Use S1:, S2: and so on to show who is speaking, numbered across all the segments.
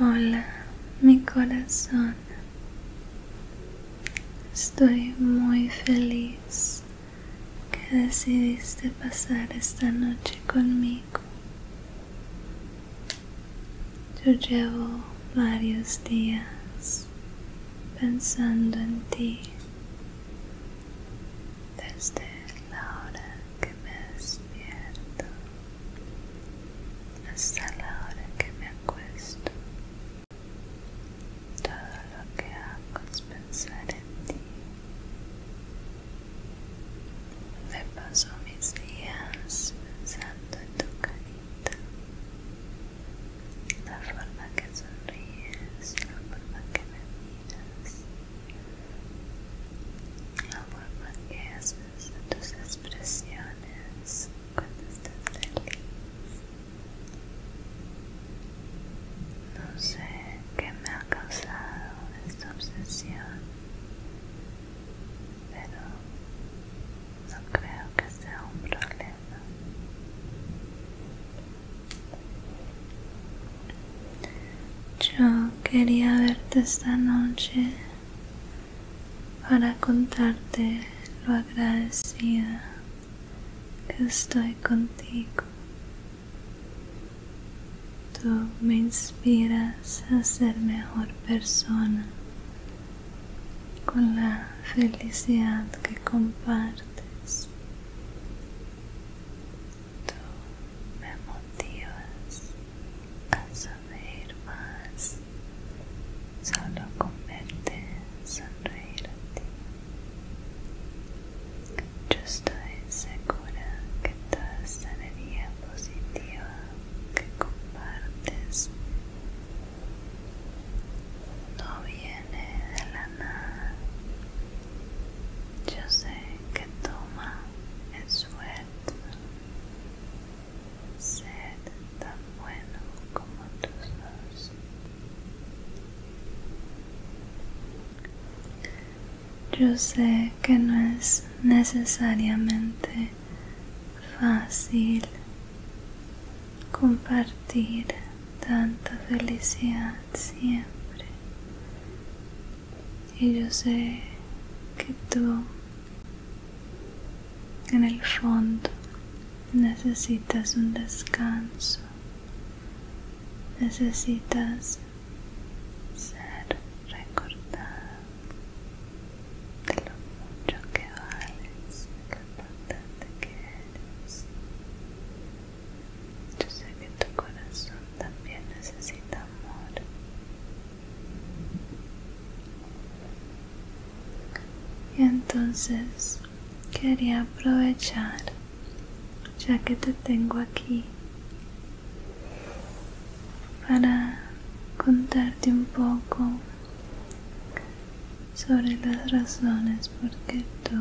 S1: Hola, mi corazón. Estoy muy feliz que decidiste pasar esta noche conmigo. Yo llevo varios días pensando en ti desde la hora que me despierto hasta la hora que me acuesto. Todo lo que hago es pensar en ti. Me paso mis días pensando en tu carita, la forma que sonríes, la forma que me miras. La forma tus expresiones cuando estás feliz. No sé qué me ha causado esta obsesión, pero no creo que sea un problema. Yo quería verte esta noche para contarte lo agradecida que estoy contigo. Tú me inspiras a ser mejor persona con la felicidad que compartes. Tú me motivas a saber más. Solo con sonreír a ti. Yo estoy segura que toda energía positiva que compartes no viene de la nada. Yo sé que toma esfuerzo ser tan bueno como tú Yo sé que no es necesariamente fácil compartir tanta felicidad siempre y yo sé que tú en el fondo necesitas un descanso. Necesitas ser recordada de lo mucho que vales, de lo importante que eres. Yo sé que tu corazón también necesita amor. Y entonces quería aprovechar, ya que te tengo aquí, para contarte un poco sobre las razones por qué tú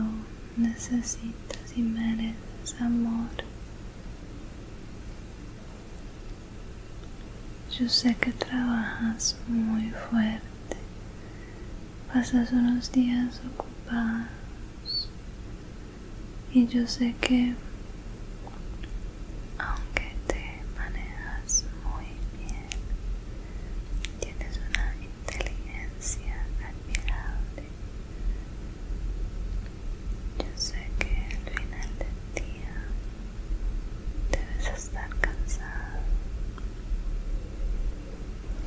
S1: necesitas y mereces amor yo sé que trabajas muy fuerte, pasas unos días ocupados y yo sé que aunque te manejas muy bien, tienes una inteligencia admirable. Yo sé que al final del día debes estar cansado.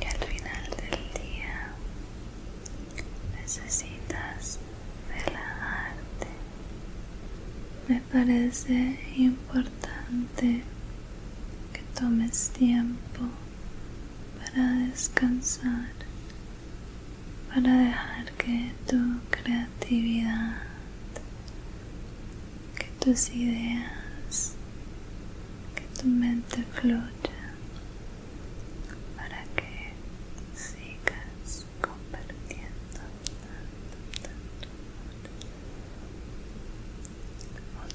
S1: y al final del día necesitas relajarte. Me parece importante que tomes tiempo para descansar para dejar que tu creatividad, que tus ideas, que tu mente fluya, para que sigas compartiendo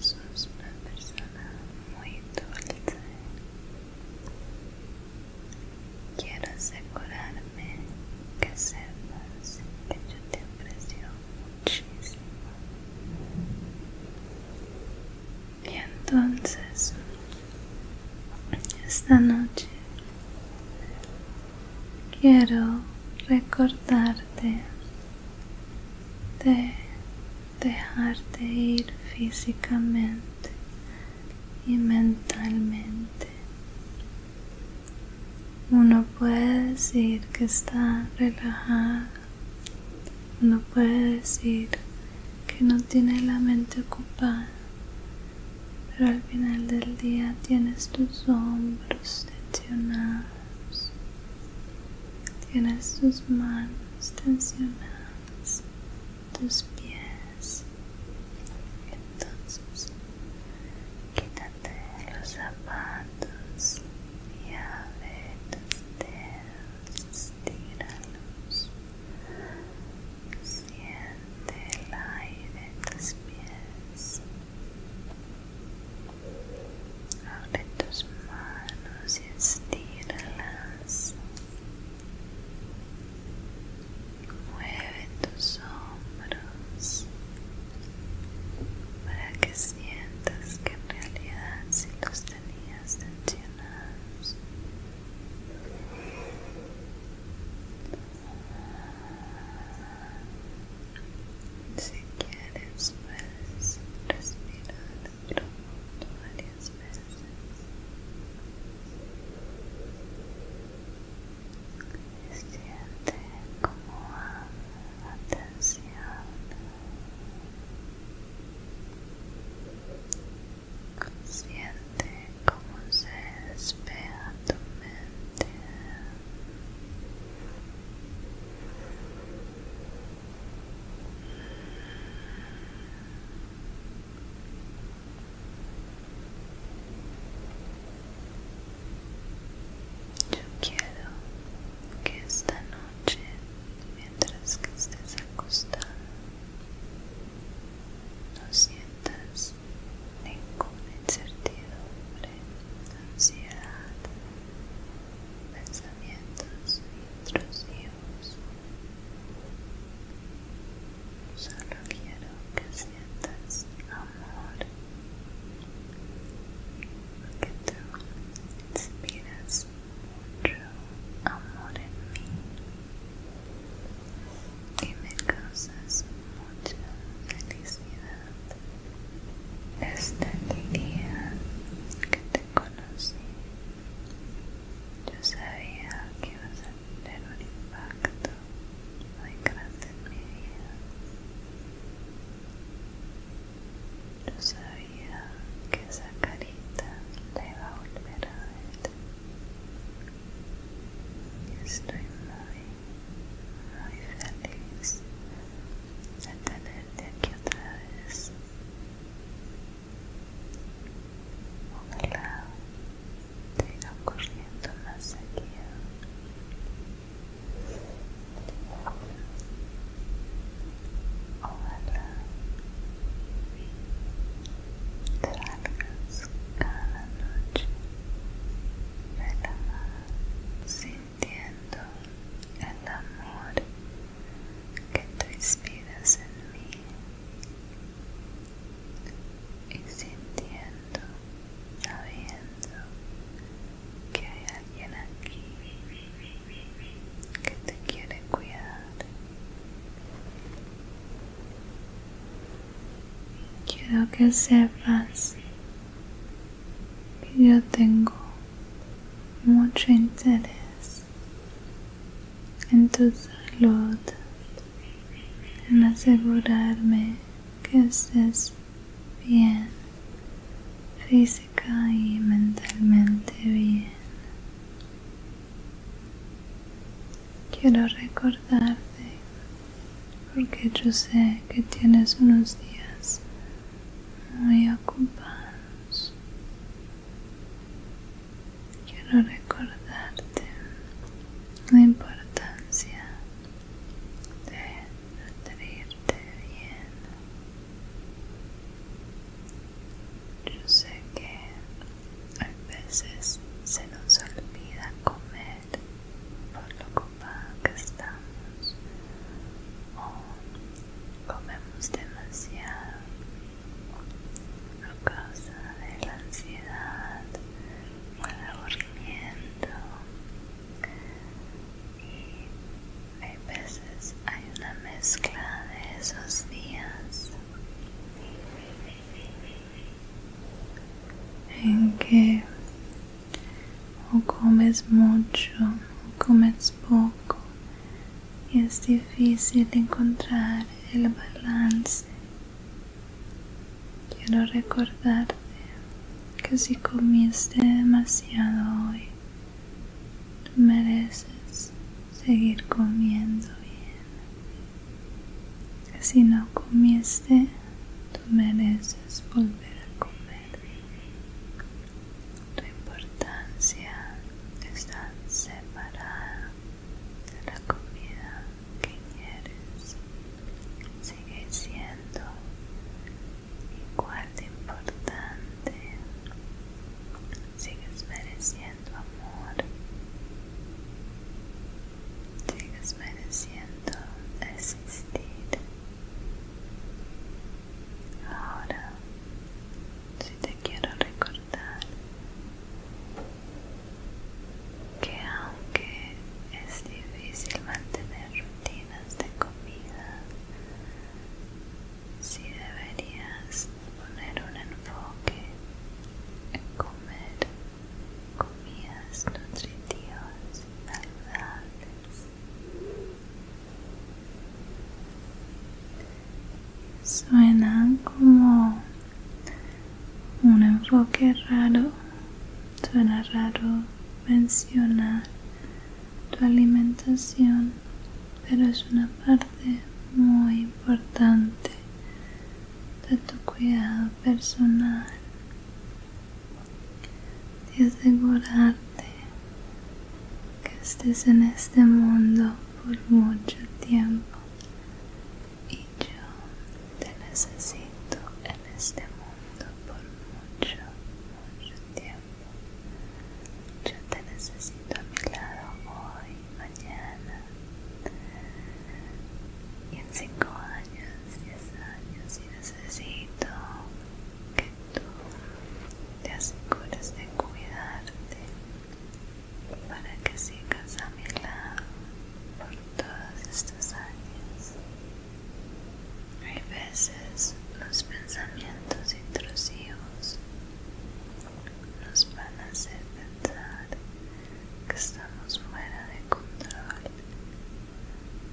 S1: sos una persona muy dulce Quiero asegurarme que sepas que yo te aprecio muchísimo. Y entonces, esta noche, quiero recordarte de dejarte ir físicamente y mentalmente. Uno puede decir que está relajado, uno puede decir que no tiene la mente ocupada, pero al final del día tienes tus hombros tensionados, tienes tus manos tensionadas tus pies entonces quítate los zapatos y abre tus dedos estíralos siente el aire en tus pies abre tus manos y estíralas Mueve tus hombros para que sientas que en realidad si los tenías tensionados. Si quieres puedes respirar varias veces siente como la atención siente como se despega tu mente yo quiero que esta noche, mientras que estés acostada, no sientas ninguna incertidumbre, ansiedad, pensamientos intrusivos. Solo quiero que sientas amor. porque tú inspiras mucho amor en mí y me causas mucha felicidad. Desde el día que te conocí, yo sabía que ibas a tener un impacto muy grande en mi vida. Yo sabía que esa carita le iba a volver a ver. Y estoy muy, muy feliz de tenerte aquí otra vez. lado te irá corriendo más seguido ojalá salgas cada noche de la mar sintiendo el amor que te inspiras en mí y sintiendo, sabiendo que hay alguien aquí que te quiere cuidar. Quiero que sepas que yo tengo mucho interés en tu salud, en asegurarme que estés bien, física y mentalmente bien. Quiero recordarte porque yo sé que tienes unos días muy ocupados quiero recordarte la importancia de nutrirte bien. Yo sé que a veces se nos olvida comer por lo ocupada que estamos o comemos demasiado causa de la ansiedad o el aburrimiento y hay veces hay una mezcla de esos días en que o comes mucho o comes poco y es difícil encontrar el balance Quiero recordarte que si comiste demasiado hoy, tú mereces seguir comiendo bien. Que si no comiste, tú mereces volver a comer. Tu importancia está separada la comida que quieres sigue siendo igual de importante sigues mereciendo amor sigues mereciendo existir ahora si te quiero recordar que aunque es difícil mantener rutinas de comida, si deberías poner un enfoque en comer comidas nutritivas y saludables. Suenan como un enfoque raro suena raro mencionar tu alimentación pero es una parte muy importante de tu cuidado personal y asegurarte que estés en este mundo por mucho tiempo y yo te necesito en este mundo por mucho, mucho tiempo. Yo te necesito a mi lado hoy, mañana. Y en cinco años, diez años, y necesito que tú te asegures de cuidarte, para que sigas a mi lado por todos estos años. Hay veces los pensamientos intrusivos nos van a hacer pensar que estamos fuera de control,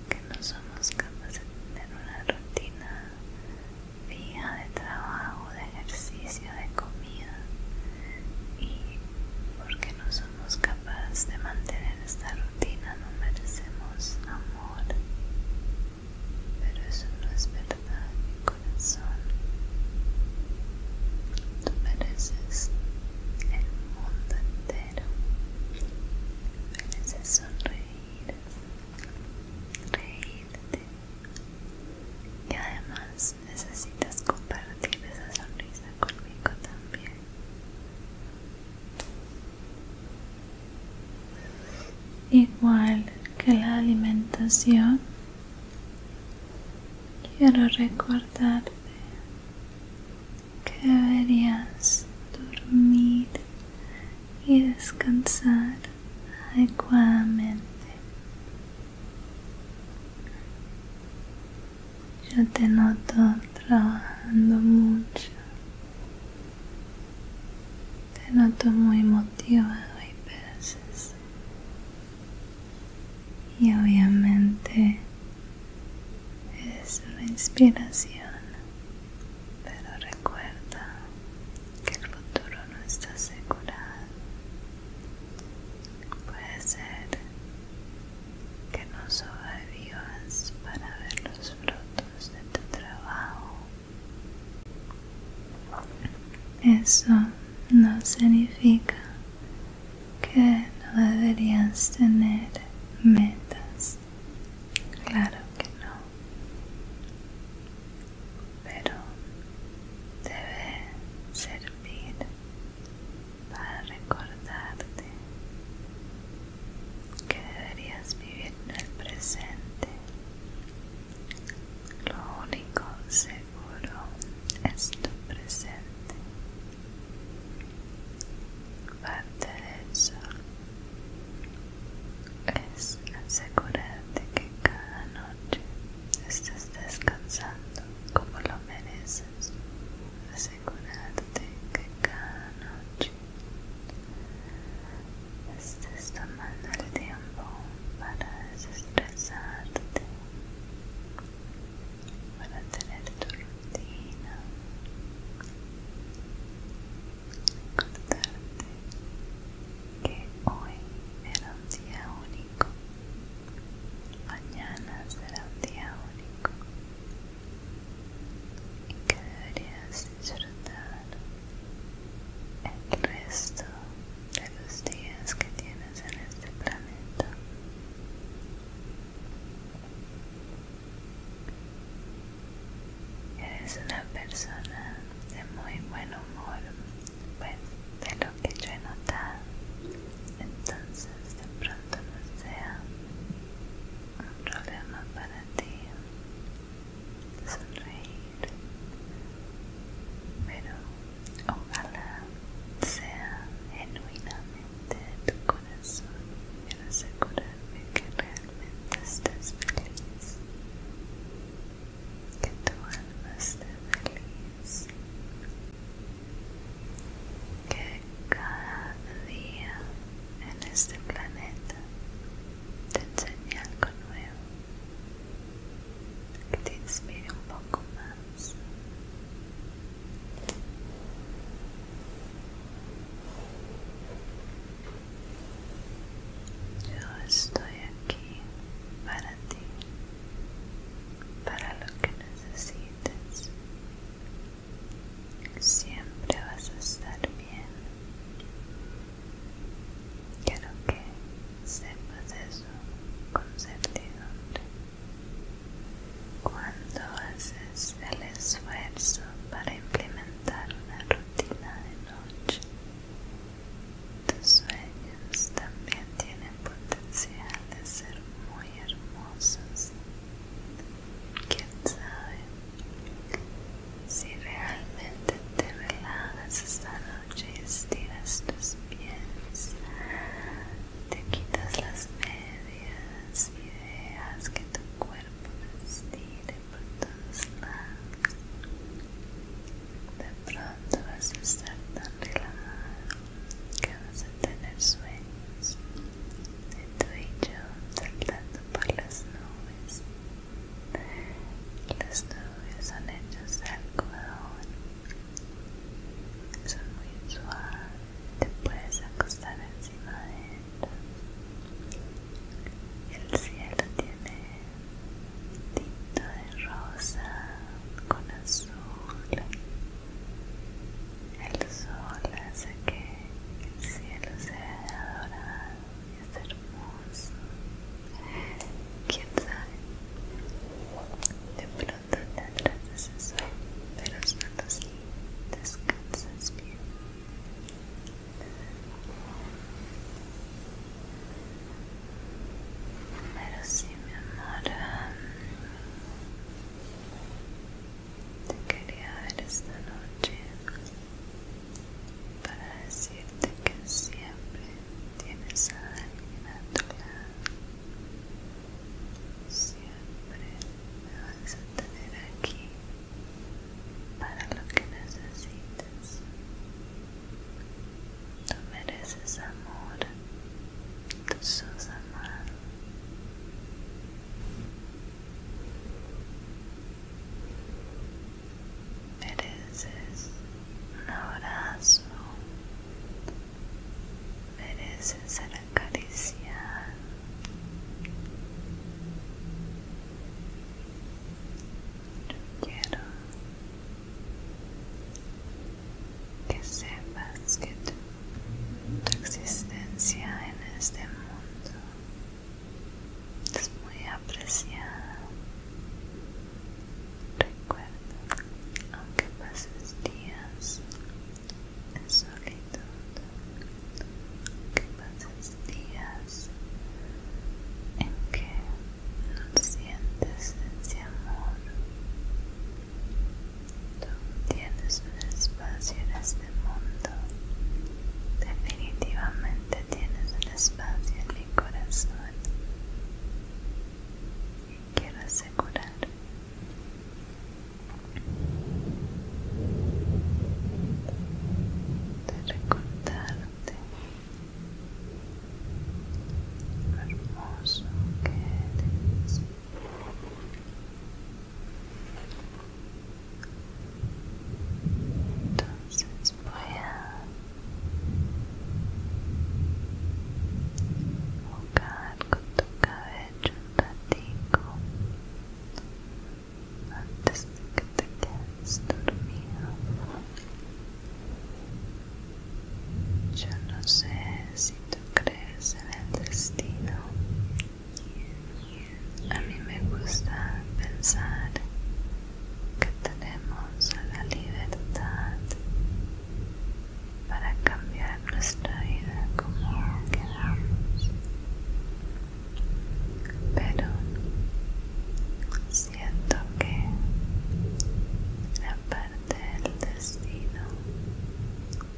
S1: que no somos capaces de tener una rutina vía de trabajo, de ejercicio, de comida y porque no somos capaces de mantener esta rutina no merecemos amor. Pero eso no es verdad, mi corazón. Tú mereces el mundo entero. Mereces sonreír, reírte y además necesitas compartir esa sonrisa conmigo también. Igual que la alimentación, quiero recordarte que deberías dormir y descansar adecuadamente yo te noto trabajando mucho. Te noto muy motivado y peces. Y obviamente es una inspiración. Pero recuerda que el futuro no está asegurado. Puede ser que no sobrevivas para ver los frutos de tu trabajo. Eso no significa que no deberías tener metas. Claro que no. Pero debe servir para recordarte que deberías vivir en el presente. Lo único seguro es tu presente. Parte de eso es asegurarte que cada noche estés descansando como lo mereces asegurarte que cada noche estés tomando el tiempo para desestresarte, para tener tu rutina, recordarte que hoy era un día único. Mañana será un día único y que deberías disfrutar el resto de los días que tienes en este planeta. Eres una persona de muy buen humor, que yo entonces de pronto no sea un problema para ti sonreír pero ojalá sea genuinamente tu corazón quiero asegurarme que realmente estés feliz que tu alma esté feliz que cada día en este planeta te enseñe algo nuevo que te inspire un poco más. Yo estoy aquí para ti, para lo que necesites. Siempre vas a estar bien. Quiero que sepas eso con certidumbre. Cuando haces el esfuerzo para implementar una rutina de noche, tus sueños también tienen potencial de ser muy hermosos. ¿Quién sabe? Si realmente te relajas esta noche y estiras tus pies, te quitas las medias y dejas que tu cuerpo te estire por todos lados. De pronto vas a estar tan relajado que vas a tener sueños de tu y yo saltando por las nubes. Las nubes son hechas de algodón, son muy suaves, te puedes acostar encima de ellas. El cielo tiene tinto de rosa con azul. El sol hace que el cielo sea dorado y es hermoso. Quién sabe, de pronto tendrás ese eso pero solo si descansas bien. Pero si mi amor, um, te quería ver esta noche para decirte que siempre tienes a alguien a Siempre me vas a tener aquí para lo que necesites. Tú mereces amor, tú sos amado. Mereces un abrazo, mereces ser acariciado. Yo quiero que sepas que tú tu existencia en este mundo es muy apreciada. Recuerda, aunque pases días en solitud, aunque pases días en que no sientes ese amor, Tú tienes un espacio en este mundo. Definitivamente tienes un espacio en mi corazón. Y quiero asegurar de recordarte lo hermoso que eres. Entonces voy a jugar con tu cabello un ratico antes de que te quedes dormido. Yo no sé si tú crees en el destino. A mí me gusta pensar que tenemos la libertad para cambiar nuestra vida como queramos. Pero siento que la palabra del destino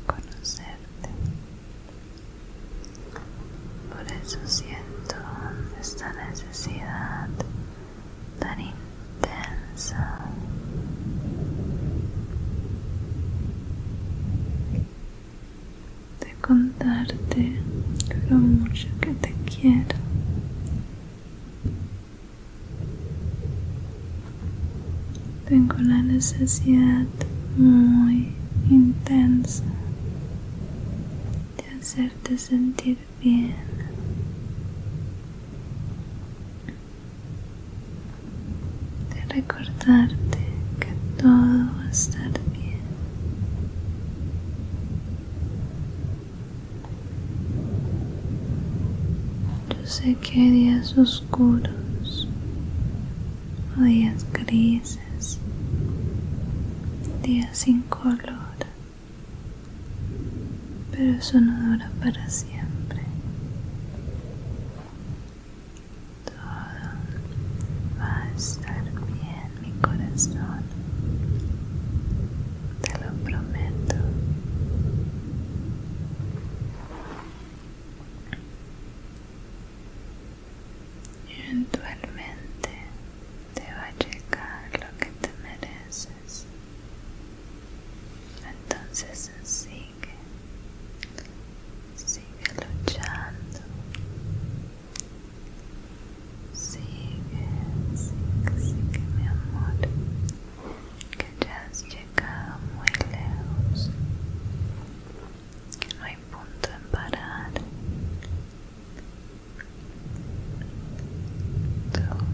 S1: conocerte. Por eso siento esta necesidad tan intensa. De contarte lo mucho que te quiero tengo la necesidad muy intensa de hacerte sentir bien. De recordarte que todo va a estar bien. Yo sé que días oscuros oscuros o días grises, días sin color, pero eso no dura para siempre. Todo va a estar bien, mi corazón, te lo prometo. Eventualmente te va a llegar lo que te mereces. Entonces sigue, sigue luchando. Sigue, sigue, sigue mi amor, que ya has muy lejos, no hay punto en parar. Tú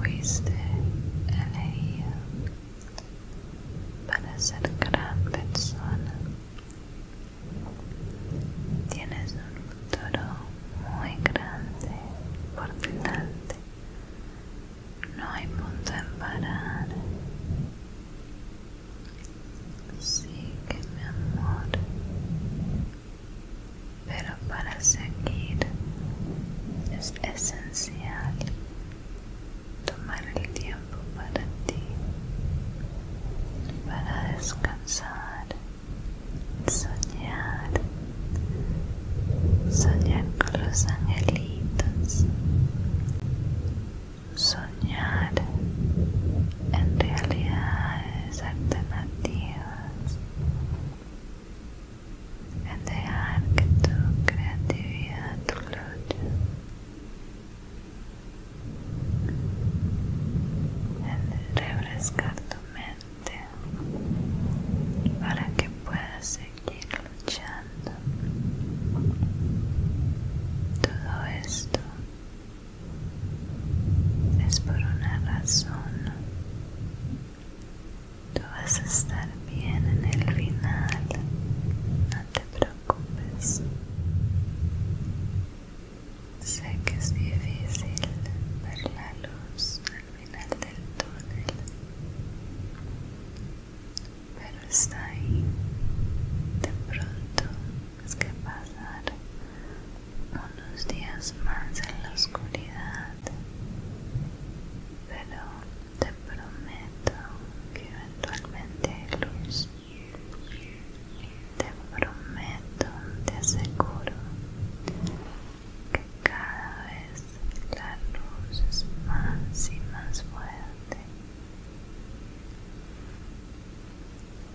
S1: fuiste elegido para ser gran persona. Tienes un futuro muy grande por delante. No hay punto en parar. Sí que mi amor. Pero para seguir es esencial tomar el tiempo para ti, para descansar soñar, soñar con los angelitos, soñar en realidades alternativas, en dejar que tu creatividad fluya. En refrescar tu mente para que puedas seguir luchando. Todo esto es por una razón. Tú vas a estar bien en el final. No te preocupes. Sé que es difícil ver la luz final del túnel pero está ahí de pronto es que pasar unos días más en la oscuridad pero te prometo que eventualmente hay luz te prometo te aseguro que cada vez la luz es más y más fuerte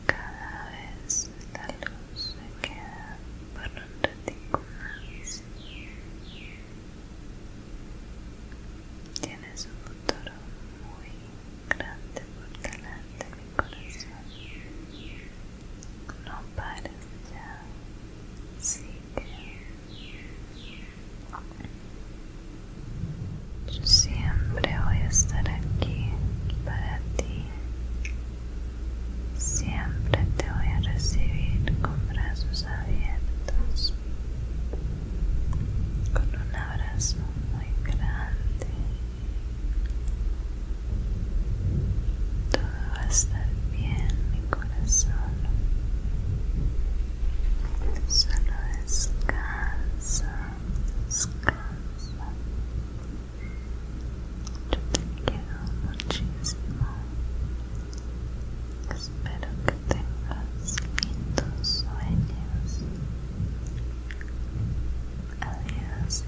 S1: cada vez la luz se queda por un ratito más tienes un futuro muy grande por delante mi corazón no pares ya. Sigue. Yo siempre voy a estar aquí para ti. Siempre te voy a recibir con brazos abiertos. Con un abrazo muy grande. Todo va a estar bien, mi corazón. Solo descansa, descansa. Yo te quiero muchísimo. Espero que tengas lindos sueños. Adiós.